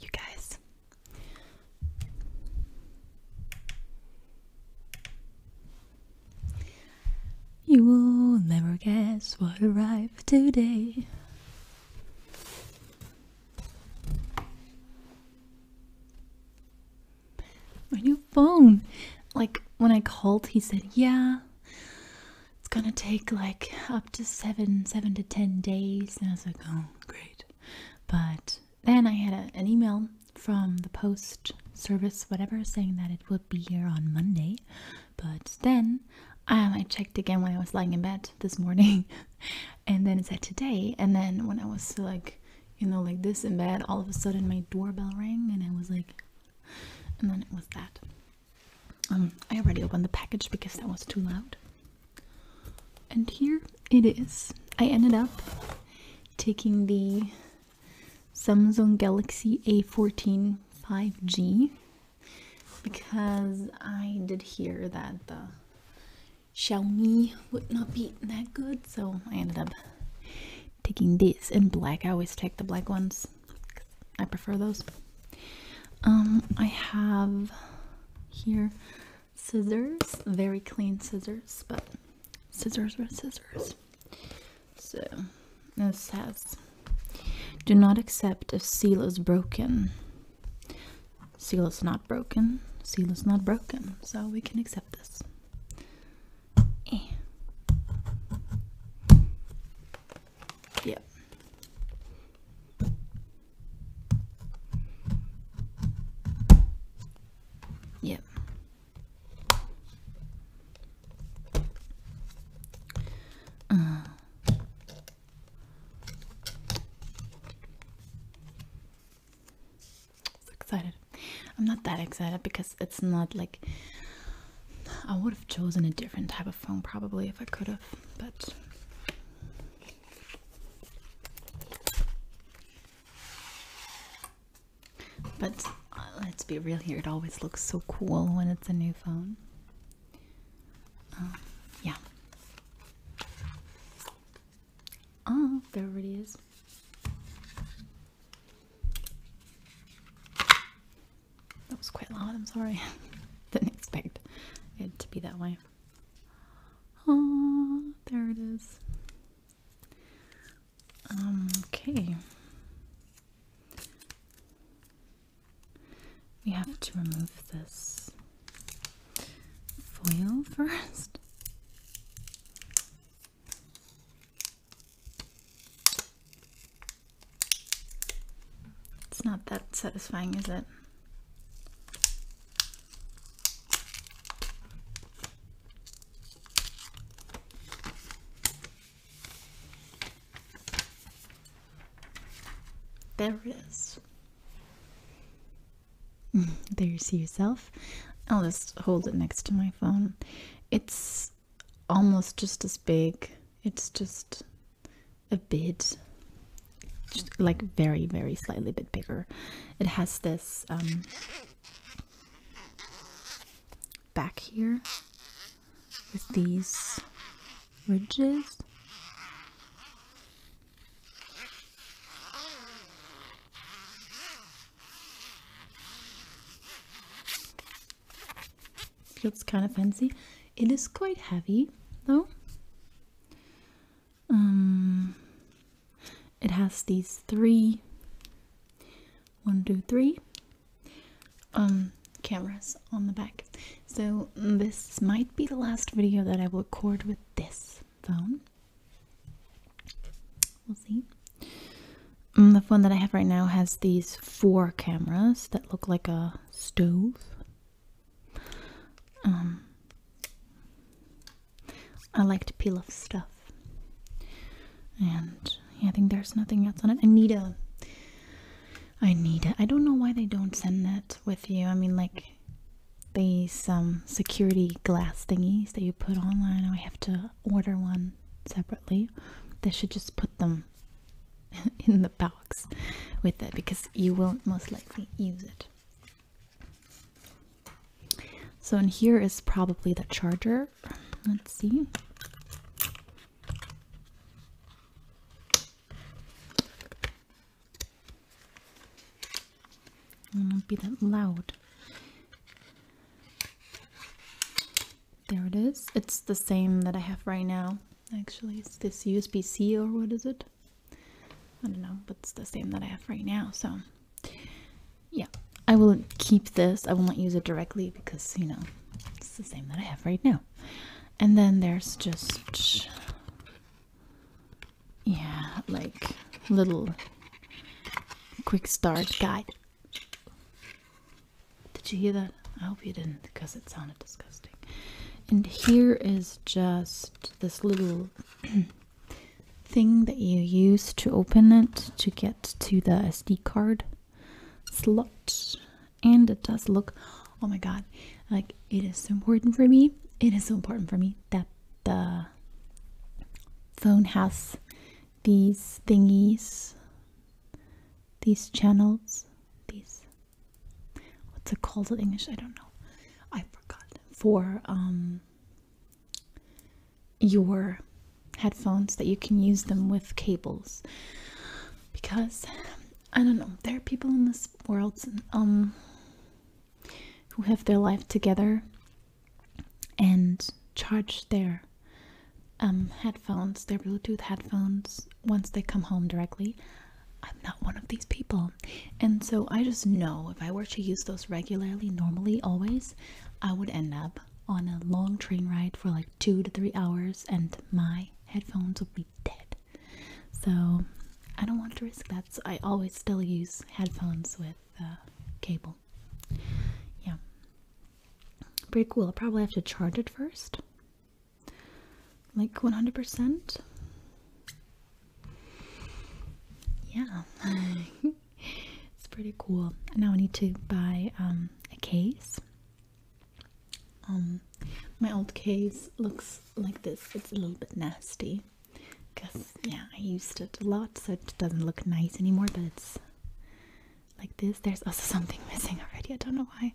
You guys. You will never guess what arrived today. My new phone. Like when I called, he said, Yeah, it's gonna take like up to seven, seven to ten days. And I was like, oh, great. But then I had a, an email from the post service, whatever, saying that it would be here on Monday. But then um, I checked again when I was lying in bed this morning, and then it said today. And then when I was like, you know, like this in bed, all of a sudden my doorbell rang, and I was like, and then it was that. Um, I already opened the package because that was too loud. And here it is. I ended up taking the Samsung Galaxy A14 5G because I did hear that the Xiaomi would not be that good, so I ended up taking this in black. I always take the black ones. I prefer those. Um, I have here scissors, very clean scissors, but scissors are scissors. So this has. do not accept if seal is broken. Seal is not broken. Seal is not broken. So we can accept this. Eh. Yep. Yep. Uh. excited. I'm not that excited because it's not like I would have chosen a different type of phone probably if I could have, but but uh, let's be real here, it always looks so cool when it's a new phone. Um, yeah. Oh, there it is. That was quite loud, I'm sorry. Didn't expect it to be that way. Oh, there it is. okay. We have to remove this foil first. It's not that satisfying, is it? There it is. there you see yourself. I'll just hold it next to my phone. It's almost just as big. It's just a bit like very very slightly bit bigger it has this um, back here with these ridges feels kind of fancy it is quite heavy though um, it has these three one, two, three um cameras on the back. So this might be the last video that I will record with this phone. We'll see. Um, the phone that I have right now has these four cameras that look like a stove. Um, I like to peel off stuff, and I think there's nothing else on it. I need a, I need a. I don't know why they don't send that with you. I mean, like these um security glass thingies that you put online. I have to order one separately. They should just put them in the box with it because you will most likely use it. So in here is probably the charger. Let's see. It won't be that loud. There it is. It's the same that I have right now. Actually, it's this USB-C or what is it? I don't know, but it's the same that I have right now. So, yeah, I will keep this. I won't use it directly because, you know, it's the same that I have right now. And then there's just, yeah, like little quick start guide. Did you hear that? I hope you didn't because it sounded disgusting. And here is just this little thing that you use to open it to get to the SD card slot. And it does look, oh my god, like it is so important for me. It is so important for me that the phone has these thingies, these channels, these what's it called in English? I don't know. I forgot. For um, your headphones that you can use them with cables. Because I don't know, there are people in this world um, who have their life together and charge their um, headphones, their Bluetooth headphones once they come home directly. I'm not one of these people. And so I just know if I were to use those regularly, normally, always, I would end up on a long train ride for like two to three hours and my headphones would be dead. So I don't want to risk that. So I always still use headphones with uh, cable. Yeah. Pretty cool. I'll probably have to charge it first like 100%. Yeah, it's pretty cool. Now I need to buy um, a case. Um, my old case looks like this. It's a little bit nasty because yeah, I used it a lot, so it doesn't look nice anymore. But it's like this. There's also something missing already. I don't know why,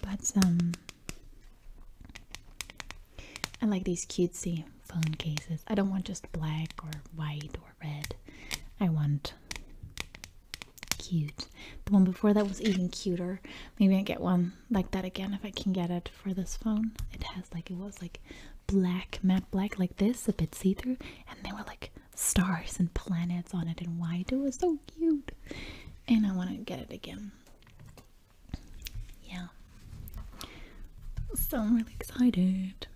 but um, I like these cutesy phone cases. I don't want just black or white or red. I want cute. The one before that was even cuter. Maybe I get one like that again if I can get it for this phone. It has like, it was like black, matte black like this, a bit see-through. And there were like stars and planets on it and white. It was so cute. And I want to get it again. Yeah. So I'm really excited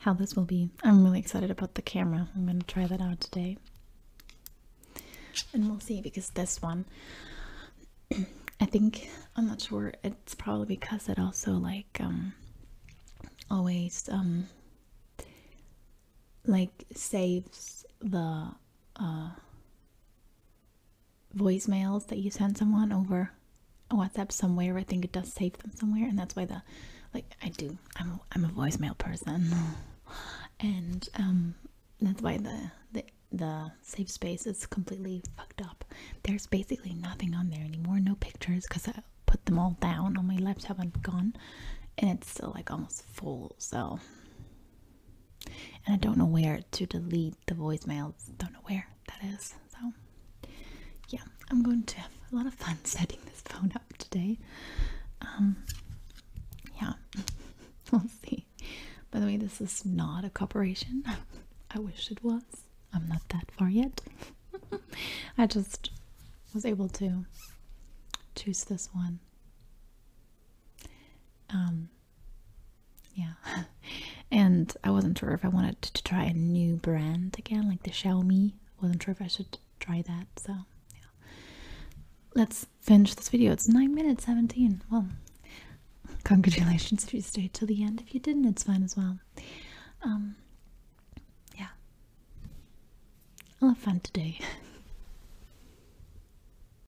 how this will be. I'm really excited about the camera. I'm going to try that out today. And we'll see because this one, I think, I'm not sure, it's probably because it also like, um, always, um, like saves the, uh, voicemails that you send someone over WhatsApp somewhere. I think it does save them somewhere, and that's why the like I do. I'm a, I'm a voicemail person, and um, that's why the the the safe space is completely fucked up. There's basically nothing on there anymore. No pictures because I put them all down on my laptop and gone, and it's still like almost full. So and I don't know where to delete the voicemails. Don't know where that is. So, yeah, I'm going to have a lot of fun setting this phone up today. Um, yeah, we'll see. By the way, this is not a corporation. I wish it was. I'm not that far yet. I just was able to choose this one. Um, yeah and i wasn't sure if i wanted to try a new brand again like the xiaomi wasn't sure if i should try that so let's finish this video it's 9 minutes 17 well congratulations if you stayed till the end if you didn't it's fine as well um, yeah i'll have fun today